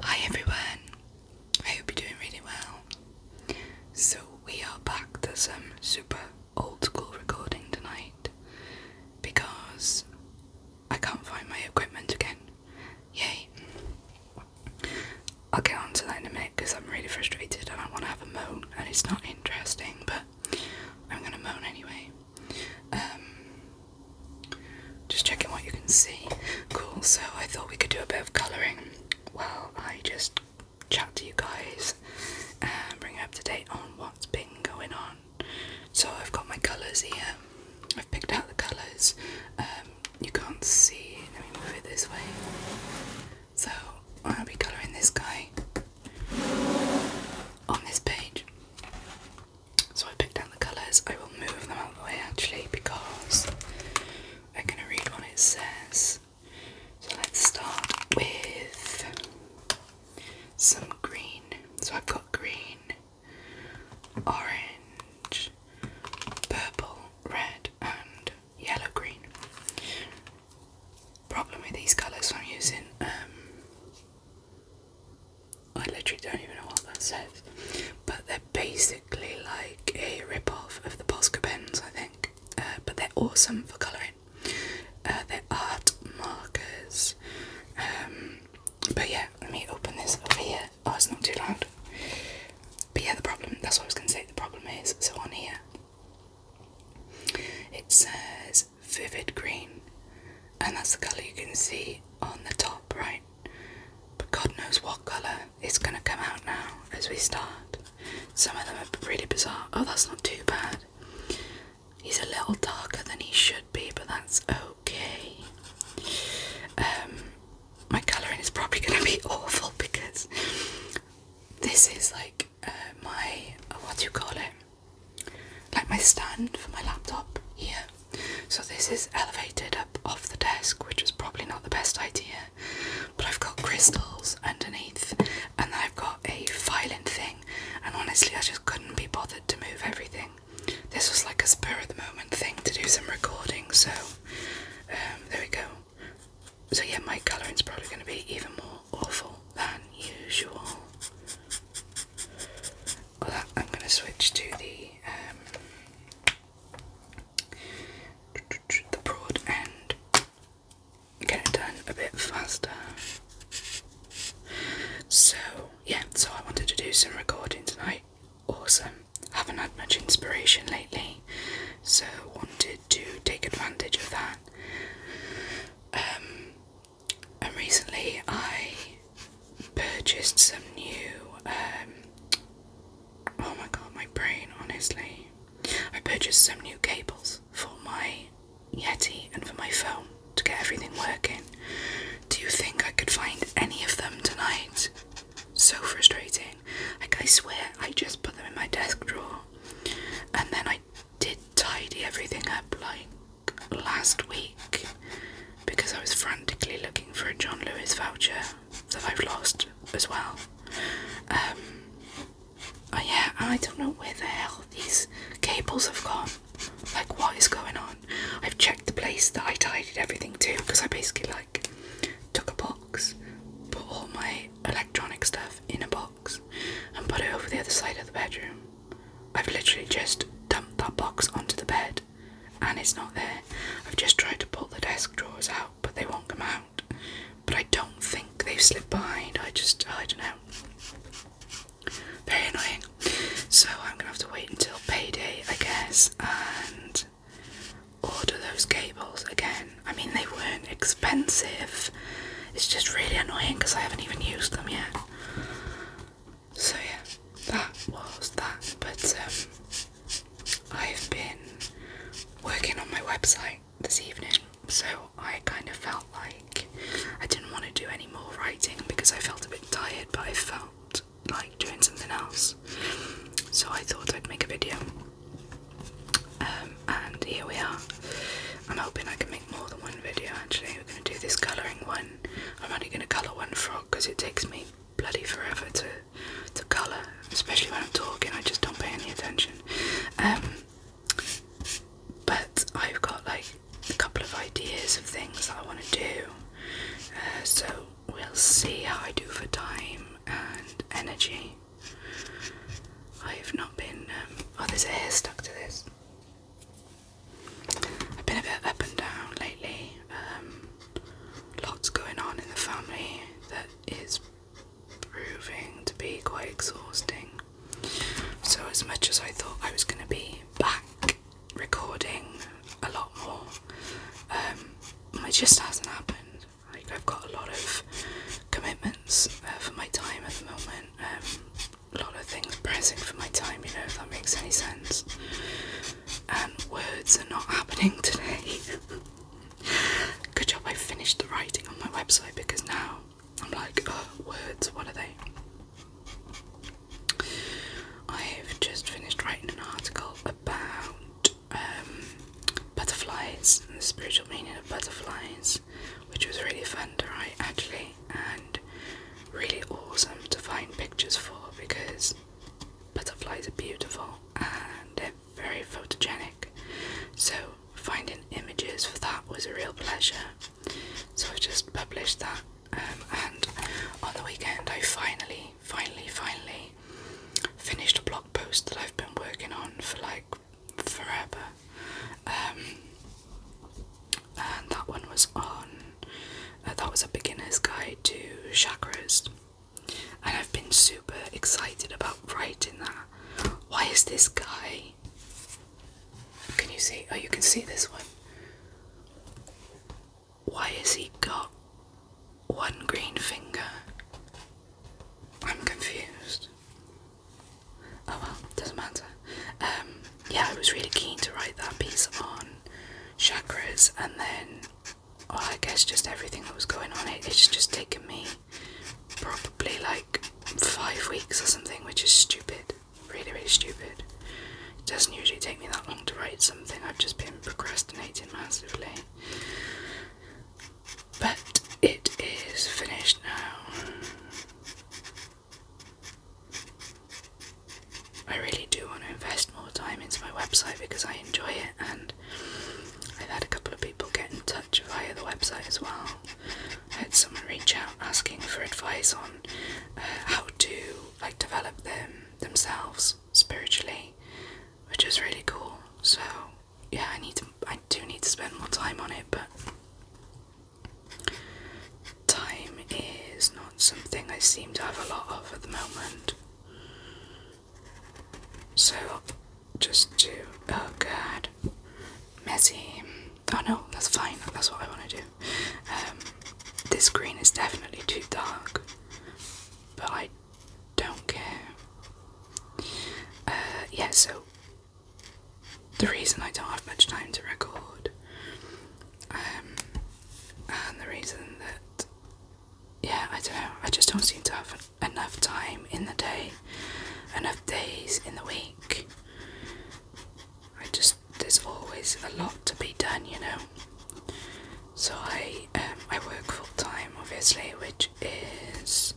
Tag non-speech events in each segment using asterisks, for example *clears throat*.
Hi everyone, I hope you're doing really well. So, we are back to some super old school recording tonight because I can't find my equipment again. Yay! I'll get on to that in a minute because I'm really frustrated and I want to have a moan, and it's not interesting, but I'm gonna moan anyway. Um, just checking what you can see. Cool, so I thought we could do a bit of colouring while I just chat to you guys and bring you up to date on what's been going on. So I've got my colours here. I've picked out the colours. Um, you can't see. Let me move it this way. So I'll be colouring this guy on this page. So I picked out the colours. I will move them out the way actually because I'm going to read what it says. So let's start with some green. So I've got green, orange, purple, red, and yellow green. Problem with these colours, I'm using um, I literally don't even know what that says, but they're basically like a rip-off of the Posca pens, I think. Uh, but they're awesome for colouring. Uh, they're art markers. Um, but yeah, let me open this over here. Oh, it's not too loud. But yeah, the problem, that's what I was going to say, the problem is, so on here, it says vivid green, and that's the colour you can see on the top right. But God knows what colour is going to come out now as we start. Some of them are pretty bizarre. Oh, that's not too bad. He's a little darker than he should be, but that's okay. Um, my colouring is probably going to be *laughs* awful because this is like uh, my, uh, what do you call it? Like my stand for my laptop here. So this is elevated up off the desk, which is probably not the best idea. But I've got crystals underneath, and I've got a filing thing. And honestly, I just couldn't be bothered to move everything. This was like a spur of the moment thing to do some recording. So um, there we go. So yeah, my colouring's probably going to be even more awful than usual. I'm going to switch to the um, the broad end, get it done a bit faster. So, yeah, so I wanted to do some recording tonight. Awesome. Haven't had much inspiration lately, so wanted to take advantage of that. Um, and recently I purchased some new. Um, oh my god, my brain, honestly. I purchased some new cables for my Yeti and for my phone to get everything working. Do you think I could find any of them tonight? So frustrating. Like, I swear, I just put them in my desk drawer and then I did tidy everything up like last week because I was frantically looking for a John Lewis voucher that I've lost as well. Um, oh yeah, I don't know where the hell these cables have gone. Like, what is going on? I've checked the place that I tidied everything to because I basically like took a box, put all my electronic stuff in a box, and put it over the other side of the bedroom. I've literally just dumped that box onto the bed and it's not there. I've just tried to pull the desk drawers out, but they won't come out. But I don't think they've slipped behind. I just, I don't know. Very annoying. So I'm gonna have to wait until payday, I guess, and order those cables again. I mean, they weren't expensive. It's just really annoying because I haven't even used them yet. So yeah, that was that. But um, I've been working on my website this evening, so I kind of felt like I didn't want to do any more writing because I felt a bit tired, but I felt like doing something else. So I thought I'd make a video. Um, and here we are. I'm hoping I can make more than one video actually. We're going to do this colouring one I'm only going to colour one frog because it takes me bloody forever to to colour, especially when I'm talking. I just don't pay any attention. Um, but I've got like a couple of ideas of things I want to do. Uh, so we'll see how I do for time and energy. I've not been. Um, oh, there's a hair stuck to this. I've been a bit up and down lately. Um, lots going on in the family that is proving to be quite exhausting. So, as much as I thought I was going to be back recording a lot more, um, it just hasn't happened. I've got a lot of commitments uh, for my time at the moment. Um, a lot of things pressing for my time, you know, if that makes any sense. And um, words are not happening today. *laughs* Good job I finished the writing on my website because now I'm like, words, what are they? I've just finished writing an article about um, butterflies and the spiritual meaning of butterflies, which was really fun to write actually and really awesome to find pictures for because butterflies are beautiful and they're very photogenic. So, finding images for that was a real pleasure. So, I've just published that, um, and on the weekend, I finally, finally, finally finished a blog post that I've been working on for like forever. Um, and that one was on uh, that was a beginner's guide to chakras and I've been super excited about writing that. Why is this guy? Can you see? Oh, you can see this one. Why has he got one green finger? I'm confused. Oh well, doesn't matter. Um, yeah, I was really keen to write that piece on chakras and then well, I guess just everything that was going on. It, it's just taken me probably like five weeks or something, which is stupid. Really, really stupid. It doesn't usually take me that long to write something, I've just been procrastinating massively. But it is finished now. I really do want to invest more time into my website because I enjoy it, and I've had a couple of people get in touch via the website as well. I had someone reach out asking for advice on uh, how to like develop them themselves spiritually, which is really cool. So yeah, I need to, I do need to spend more time on it, but Time is not something I seem to have a lot of at the moment. So, just do. Oh god. Messy. Oh no, that's fine. That's what I want to do. Um, this green is definitely too dark, but I don't care. Uh, yeah, so the reason I don't have much time to record um, and the reason that, yeah, I don't know, I just don't seem to have enough time in the day, enough days in the week. I just, there's always a lot to be done, you know. So I um, I work full time, obviously, which is,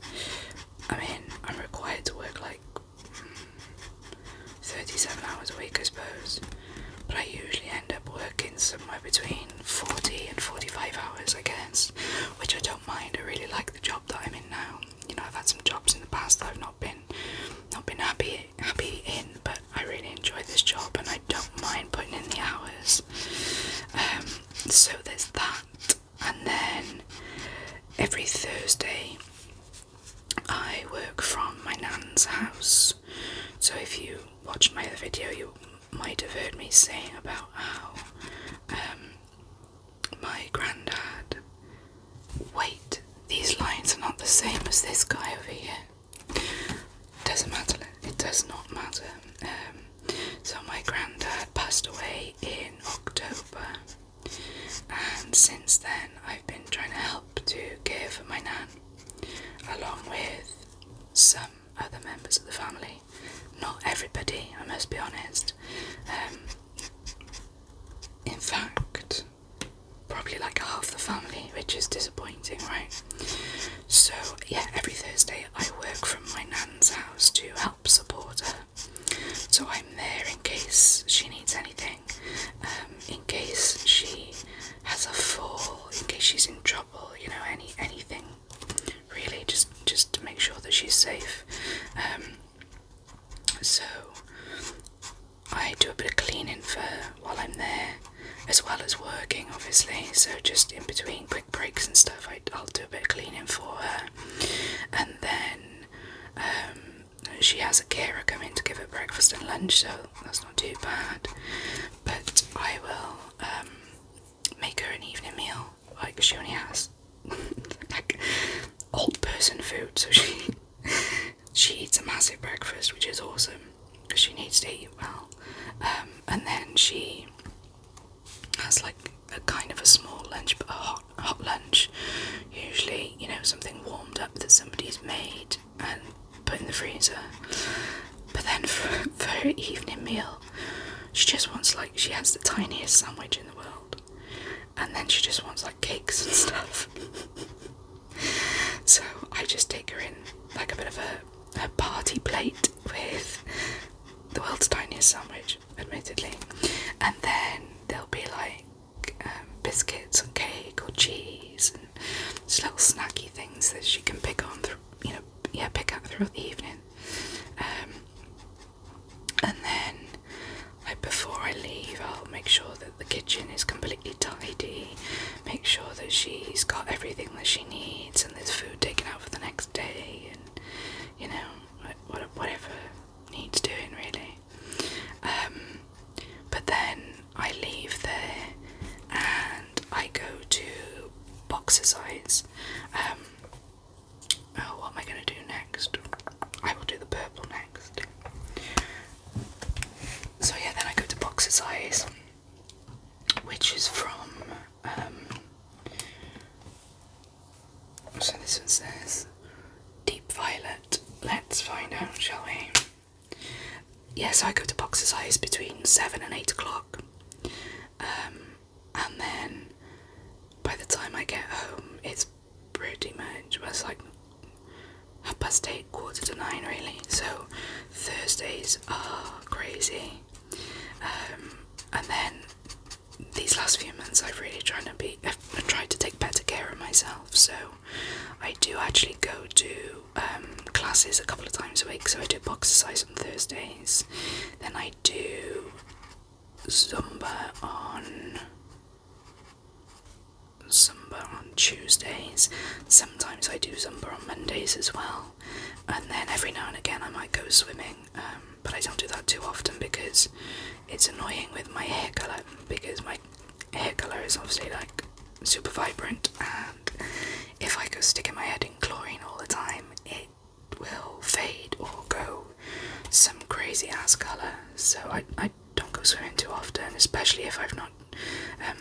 I mean, I'm required to work like 37 hours a week, I suppose, but I usually end up working somewhere between 40 and 45 hours, I guess, which I don't mind. I really like the job that I'm in now. You know, I've had some jobs in the past that I've not been not been happy happy in, but I really enjoy this job and I don't mind putting in the hours. Um, so there's that, and then every Thursday I work from my nan's house, so if you watched my other video, you might have heard me say about how um, my granddad. Wait, these lines are not the same as this guy over here. Doesn't matter, it does not matter. Um, so, my granddad passed away in October, and since then, I've been trying to help to give my nan, along with some other members of the family. Not everybody, I must be honest. Um, in fact, probably like half the family, which is disappointing, right? So, yeah, every Thursday I work from my nan's house to help support her. So I'm there in case she needs anything. Um, in case she has a fall, in case she's in trouble, you know, any anything really, just just to make sure that she's safe. Um, so I do a bit of cleaning for while I'm there, as well as working, obviously. So just in between quick breaks and stuff, I, I'll do a bit of cleaning for her, and then um, she has a carer come in to give her breakfast and lunch, so that's not too bad. But I will um, make her an evening meal. Like she only has *laughs* like old person food, so she *laughs* she eats a massive breakfast, which is awesome because she needs to eat well. Um, and then she has like a kind of a small lunch, but a hot hot lunch. Usually, you know, something warmed up that somebody's made and put in the freezer. But then *laughs* for, her evening meal, she just wants like she has the tiniest sandwich in the world, and then she just wants like cakes and *laughs* stuff. so I just take her in like a bit of a, a party plate with the world's tiniest sandwich, admittedly, and then they'll be like. Um, biscuits and cake or cheese and just little snacky things that she can pick on, you know, yeah, pick up throughout the evening. Um, and then, like before I leave, I'll make sure that the kitchen is completely tidy, make sure that she's got everything that she needs, and there's food taken out for the next day, and you know, whatever needs doing really. Um, but then I leave there and I go to Boxercise. Um, oh, what am I going to do next? I will do the purple next. So yeah, then I go to Boxercise, which is from. Um, so this one says Deep Violet. Let's find out, shall we? Yes, I go to box exercise between seven and eight o'clock, um, and then by the time I get home, it's pretty much it's like half past eight, quarter to nine, really. So Thursdays are crazy, um, and then these last few months I've really tried to be *laughs* I've tried to take better care of myself. So I do actually go to um, classes a couple of times a week, so I do box exercise on Thursdays, then I do Zumba on Zumba on Tuesdays. Sometimes I do Zumba on Mondays as well, and then every now and again I might go swimming, um, but I don't do that too often because it's annoying with my hair colour because my hair colour is obviously like super vibrant and if I go sticking my head in chlorine all the time it will fade or go some crazy ass colour so I, I don't go swimming too often especially if I've not um,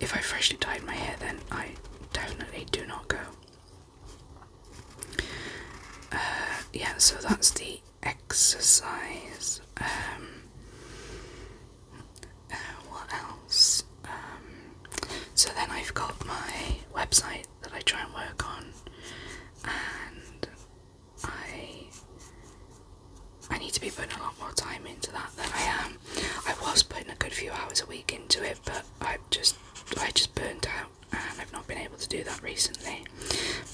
if I freshly dyed my hair then I definitely do not go uh, yeah so that's the exercise. Um, uh, what else? Um, so then I've got my website that I try and work on, and I I need to be putting a lot more time into that than I am. I was putting a good few hours a week into it, but I've just I just burnt out and I've not been able to do that recently.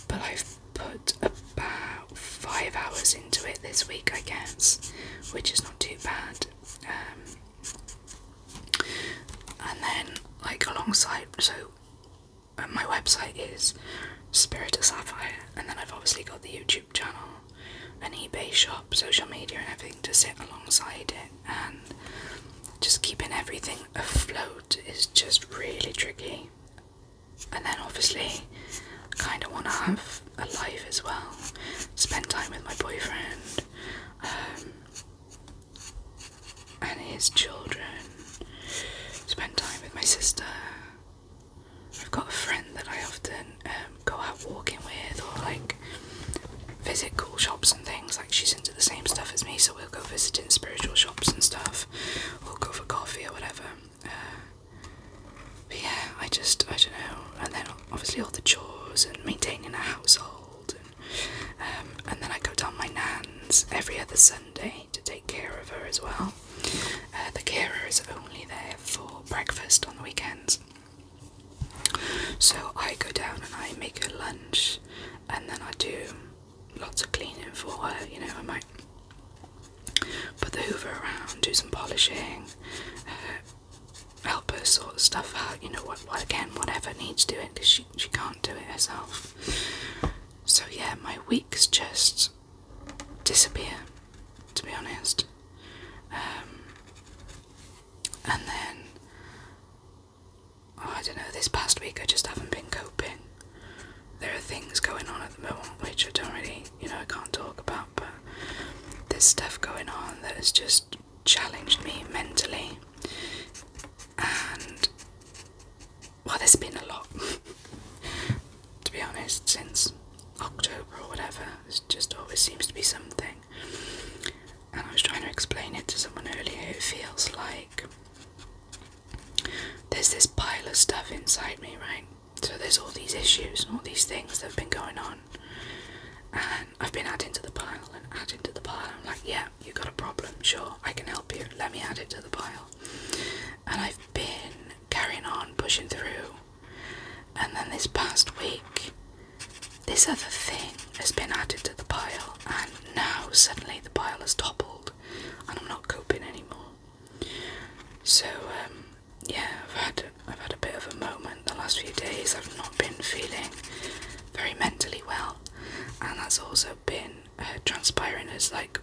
But I've put about five hours into it this week, I guess, which is not too bad. Um, and then, like, alongside, so uh, my website is Spirit of Sapphire, and then I've obviously got the YouTube channel, an eBay shop, social media, and everything to sit alongside it. And just keeping everything afloat is just really tricky and then obviously I kind of want to have a life as well, spend time with my boyfriend um, and his children, spend time with my sister. I've got a friend that I often um, go out walking with or like visit cool shops and things. Like she's into the same stuff as me, so we'll go visiting spiritual shops and stuff. or go for coffee or whatever. Uh, but yeah, I just, I don't know. And then obviously all the chores and maintaining a household. And, um, then I go down my nan's every other Sunday to take care of her as well. Uh, the Kira is only there for breakfast on the weekends. So I go down and I make her lunch, and then I do lots of cleaning for her, you know, I might put the hoover around, do some polishing, uh, help her sort of stuff out, you know, what, again, whatever needs doing because she, she can't do it herself. So yeah, my weeks just disappear, to be honest. Um, and then, oh, I don't know, this past week I just haven't been coping there are things going on at the moment which I don't really, you know, I can't talk about, but there's stuff going on that has just challenged me mentally. And, well, there's been a lot, *laughs* to be honest, since October or whatever. It just always seems to be something. And I was trying to explain it to someone earlier. It feels like there's this pile of stuff inside me, right? So there's all these issues and all these things that have been going on, and I've been adding to the pile and adding to the pile. I'm like, yeah, you have got a problem, sure, I can help you. Let me add it to the pile. And I've been carrying on, pushing through, and then this past week, this other thing has been added to the pile, and now suddenly the pile has toppled, and I'm not coping anymore. So um, yeah, I've had I've had a bit of a moment the last few days. I've not been feeling very mentally well, and that's also been uh, transpiring as like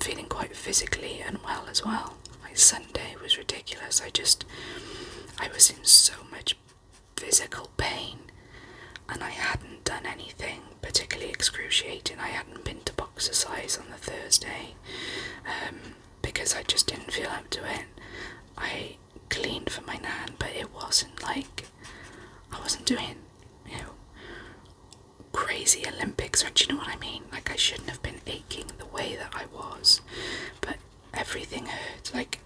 feeling quite physically unwell as well. Like Sunday was ridiculous. I just I was in so much physical pain, and I hadn't done anything particularly excruciating. I hadn't been to boxercise on the Thursday um, because I just didn't feel up to it. I cleaned for my nan, but it wasn't like I wasn't doing, you know, crazy Olympics. Or do you know what I mean? Like I shouldn't have been aching the way that I was, but everything hurt. Like,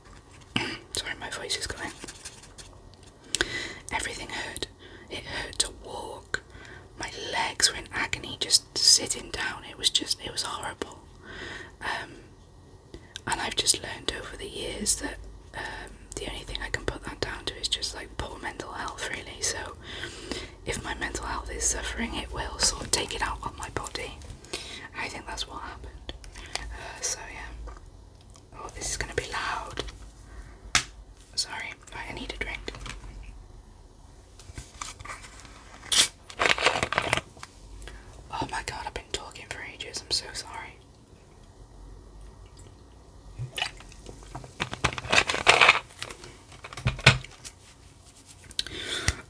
*clears throat* sorry, my voice is going. Everything hurt. It hurt to walk. My legs were in agony just sitting down. It was just, it was horrible. Um, and I've just learned over the years that um, the only thing I can put that down to is just like poor mental health, really. So if my mental health is suffering, it will sort of take it out on my body. I think that's what happened. Uh, so yeah. Oh, this is gonna be loud. Sorry, I need a drink. Oh my god, I've been talking for ages. I'm so sorry.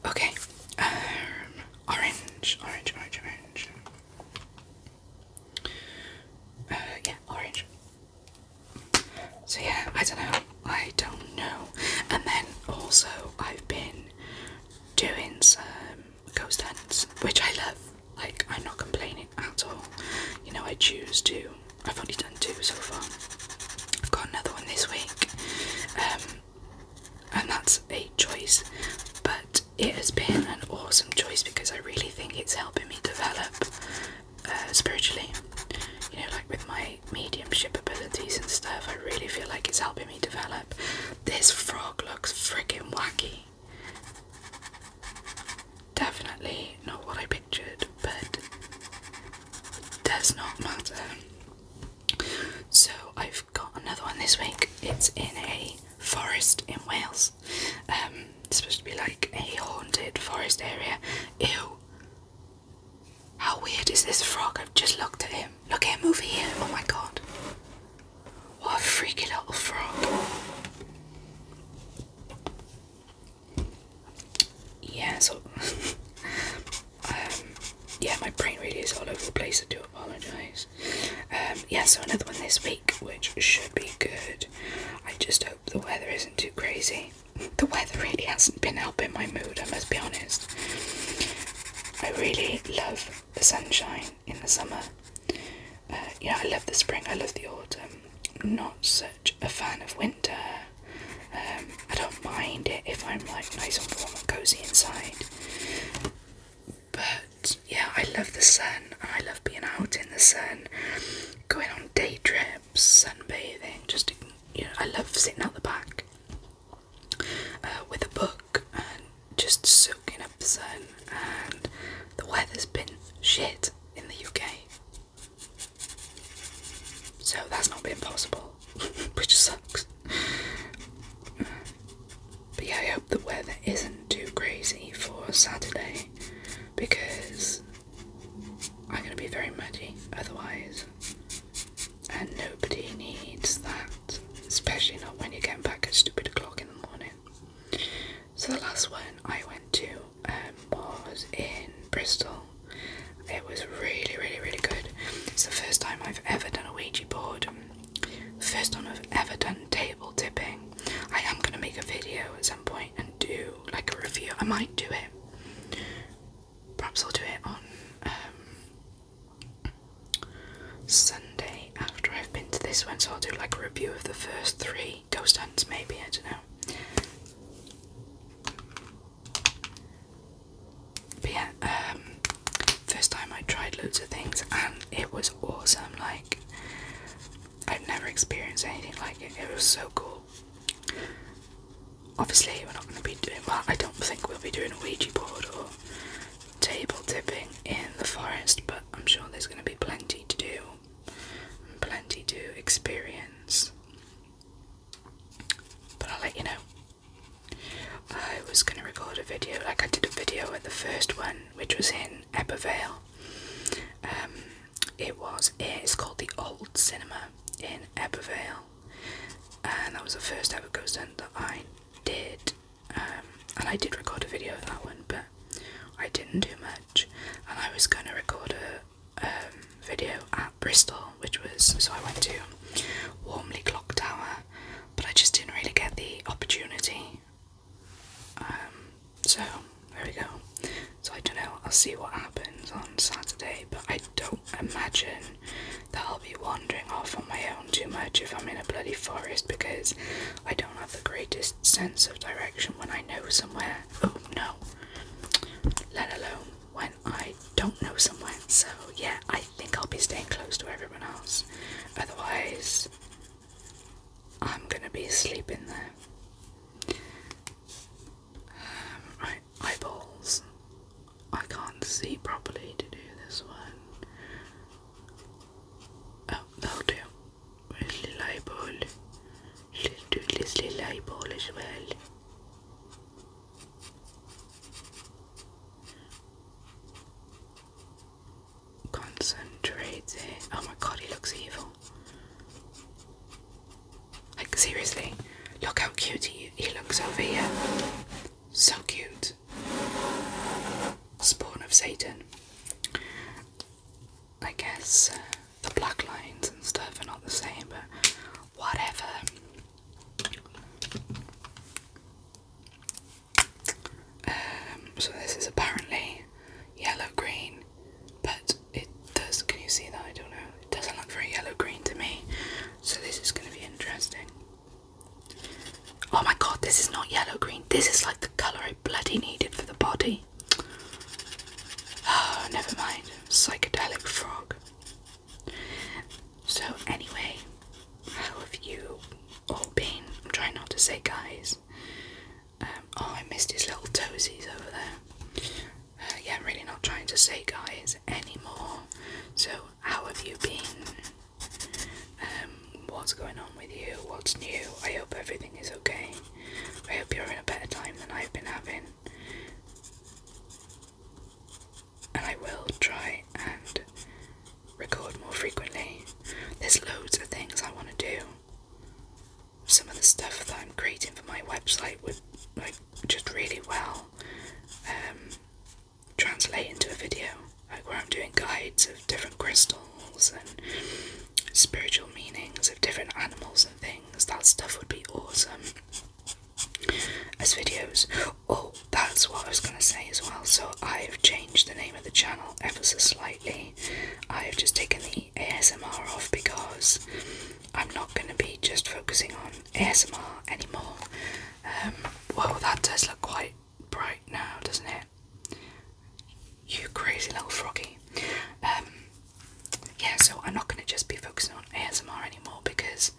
Okay, um, orange, orange, orange, orange. Uh, yeah, orange. So yeah, I don't know. I don't know. And then also I've been doing some ghost hunts, which I love. Like I'm not complaining at all. You know, I choose to. I've only done two so far. I've got another one this week. Um, and that's a choice, but it has been an awesome choice because I really think it's helping me develop uh, spiritually. You know, like with my mediumship abilities and stuff, I really feel like it's helping me develop. This frog looks freaking wacky. Definitely not what I pictured, but it does not matter. So I've got another one this week. It's in a forest in Wales. Um, it's supposed to be like a haunted forest area. Ew. How weird is this frog? I've just looked at him. Look at him over here. Oh my god. What a freaky little frog. Yeah, so. *laughs* Um, yeah, my brain really is all over the place. I do apologise. Um, yeah, so another one this week, which should be good. I just hope the weather isn't too crazy. *laughs* The weather really hasn't been helping my mood, I must be honest. I really love the sunshine in the summer. Uh, you know, I love the spring, I love the autumn. not such a fan of winter. Um, I don't mind it if I'm like nice and warm and cozy inside. But yeah, I love the sun and I love being out in the sun going on day trips, sunbathing, just you know, I love sitting out the back uh, with a book and just soaking up the sun. And the weather's been shit in the UK, so that's not been possible, *laughs* which sucks. But yeah, I hope the weather isn't too crazy for Saturday because I'm going to be very muddy otherwise, and nobody needs that, especially not when you're getting back at stupid o'clock in the morning. So, the last one I went to um, was in Bristol. It was really, really, really good. It's the first time I've ever done a Ouija board. First time I've ever done table tipping. I am going to make a video at some point and do like a review. I might do it. Perhaps I'll do it on um, Sunday after I've been to this one. So I'll do like a review of the first three ghost hunts, maybe. I don't know. But yeah, um, first time I tried loads of things and it was awesome. Like, I've never experienced anything like it. It was so cool. Obviously, we're not going to be doing well. I don't think we'll be doing a Ouija board or table tipping in the forest, but I'm sure there's going to be plenty to do plenty to experience. But I'll let you know. I was going to record a video, like I did a video at the first one, which was in in Ebervale. Um, it was it's called the Old Cinema in Ebervale, and that was the first ever ghost hunt that I did. Um, and I did record a video of that one, but I didn't do much. And I was going to record a um, video at Bristol, which was so I went to Warmly Clock Tower, but I just didn't really get the opportunity. Um, so there we go. So I don't know. I'll see what happens on Saturday, but I don't imagine that I'll be wandering off on my own too much if I'm in a bloody forest because I don't have the greatest sense of direction when I know somewhere. Oh no. Let alone when I don't know somewhere. So yeah, I think I'll be staying close to everyone else. Otherwise, I'm gonna be sleeping there. Um, right, eyeballs. I can't see properly to do this one. Oh, that Little eyeball. Little do little eyeball well. Concentrate Oh my god, he looks evil. Like, seriously, look how cute he, he looks over here. So cute. Spawn of Satan. I guess uh, the black lines and stuff are not the same, but whatever. Um, so, this is apparently yellow green but it does. Can you see that? I don't know. It doesn't look very yellow green to me, so this is going to be interesting. Oh my god, this is not yellow green. This is like the colour I bloody needed for the body. Oh, never mind. Psychedelic frog. So, anyway, how have you all been? I'm trying not to say guys. Um, oh, I missed his little toesies over there. Uh, yeah, I'm really not trying to say guys anymore. So, how have you been? Um, what's going on with you? What's new? I hope everything is okay. I hope you're in a better time than I've been having. And I will try and record more frequently. There's loads of things I want to do some of the stuff that I'm creating for my website would like just really well um, translate into a video, like where I'm doing guides of different crystals and spiritual meanings of different animals and things. That stuff would be awesome as videos. Oh, that's what I was gonna say as well. So I've changed the name of the channel ever so slightly. I have just taken the ASMR off because I'm not going to be just focusing on ASMR anymore. Um, well, that does look quite bright now, doesn't it? You crazy little froggy. Um, yeah, so I'm not going to just be focusing on ASMR anymore because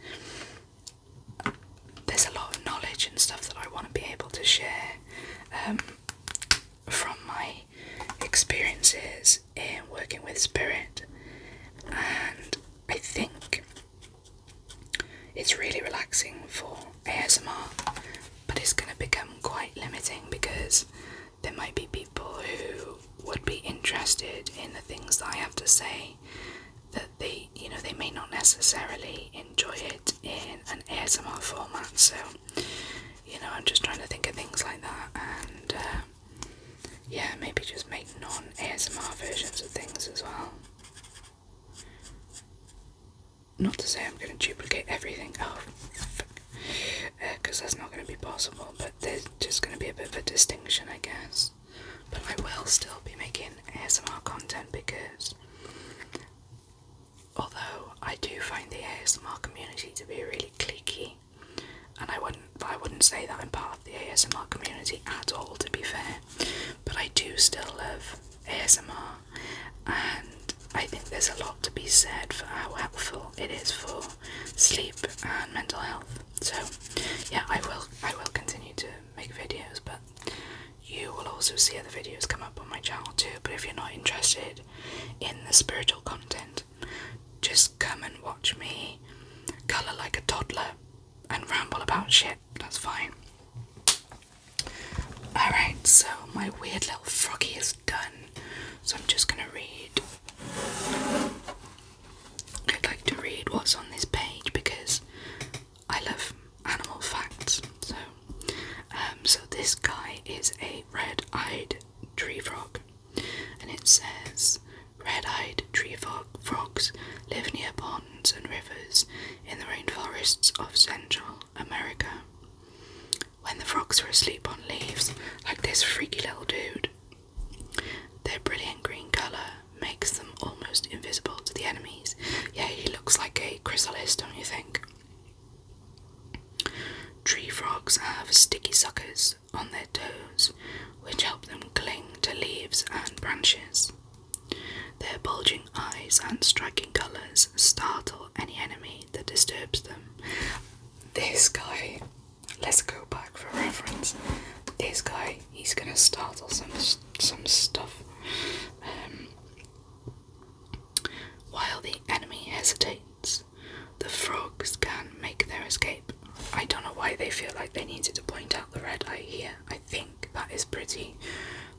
there's a lot of knowledge and stuff that I want to be able to share. Um, from my experiences in working with spirit, and I think it's really relaxing for ASMR, but it's going to become quite limiting because there might be people who would be interested in the things that I have to say that they you know they may not necessarily enjoy it in an ASMR format so you know, I'm just trying to think of things like that and uh, yeah, maybe just make non ASMR versions of things as well. Not to say I'm going to duplicate everything, oh, because uh, that's not going to be possible, but there's just going to be a bit of a distinction, I guess. But I will still be making ASMR content because Although I do find the ASMR community to be really cliquey, and I wouldn't I wouldn't say that I'm part of the ASMR community at all to be fair, but I do still love ASMR and I think there's a lot to be said for how helpful it is for sleep and mental health. So yeah I will I will continue to make videos but you will also see other videos come up on my channel too but if you're not interested in the spiritual content. Just come and watch me colour like a toddler and ramble about shit. That's fine. Alright, so my weird little froggy is done. So I'm just gonna read. I'd like to read what's on this page because I love animal facts. So um, so this guy is a red-eyed tree frog, and it says red-eyed tree frog frogs live near ponds and rivers in the rainforests of Central America. When the frogs are asleep on leaves, like this freaky little dude, their brilliant green colour makes them almost invisible to the enemies. Yeah, he looks like a chrysalis, don't you think? Tree frogs have sticky suckers on their toes, which help them cling to leaves and branches. Their bulging eyes and striking colours startle any enemy that disturbs them. This guy, let's go back for reference. This guy, he's gonna startle some some stuff. Um, while the enemy hesitates, the frogs can make their escape. I don't know why they feel like they need to point out the red eye here. I think that is pretty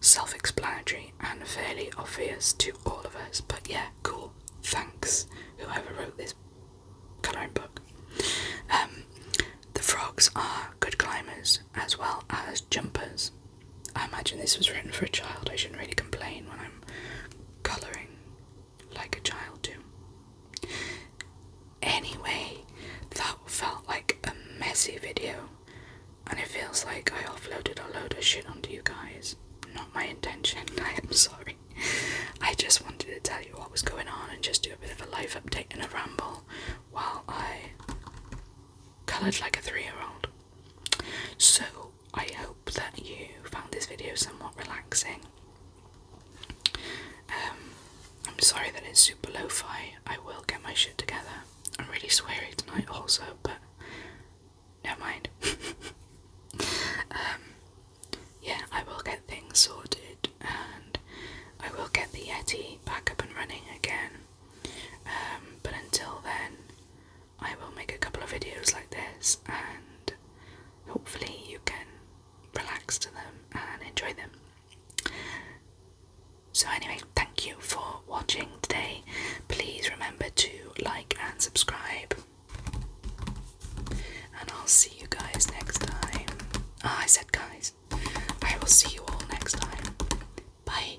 self explanatory and fairly obvious to all of us. But yeah, cool. Thanks, whoever wrote this colouring book. Um, the frogs are good climbers as well as jumpers. I imagine this was written for a child. I shouldn't really complain when I'm colouring like a child, do. Anyway, that felt like a messy video, and it feels like I offloaded a load of shit onto you guys. Not my intention, *laughs* I am sorry. I just wanted to tell you what was going on and just do a bit of a live update and a ramble while I coloured like a three year old. So, I hope that you found this video somewhat relaxing. Um, I'm sorry that it's super lo fi. I will get my shit together. I'm really sweary tonight, also, but never mind. *laughs* Um, yeah, I will get things sorted and I will get the Yeti back up and running again. Um, but until then, I will make a couple of videos like this and hopefully you can relax to them and enjoy them. So, anyway, thank you for watching today. Please remember to like and subscribe, and I'll see you guys next time. Ah, I said guys, I will see you all next time. Bye.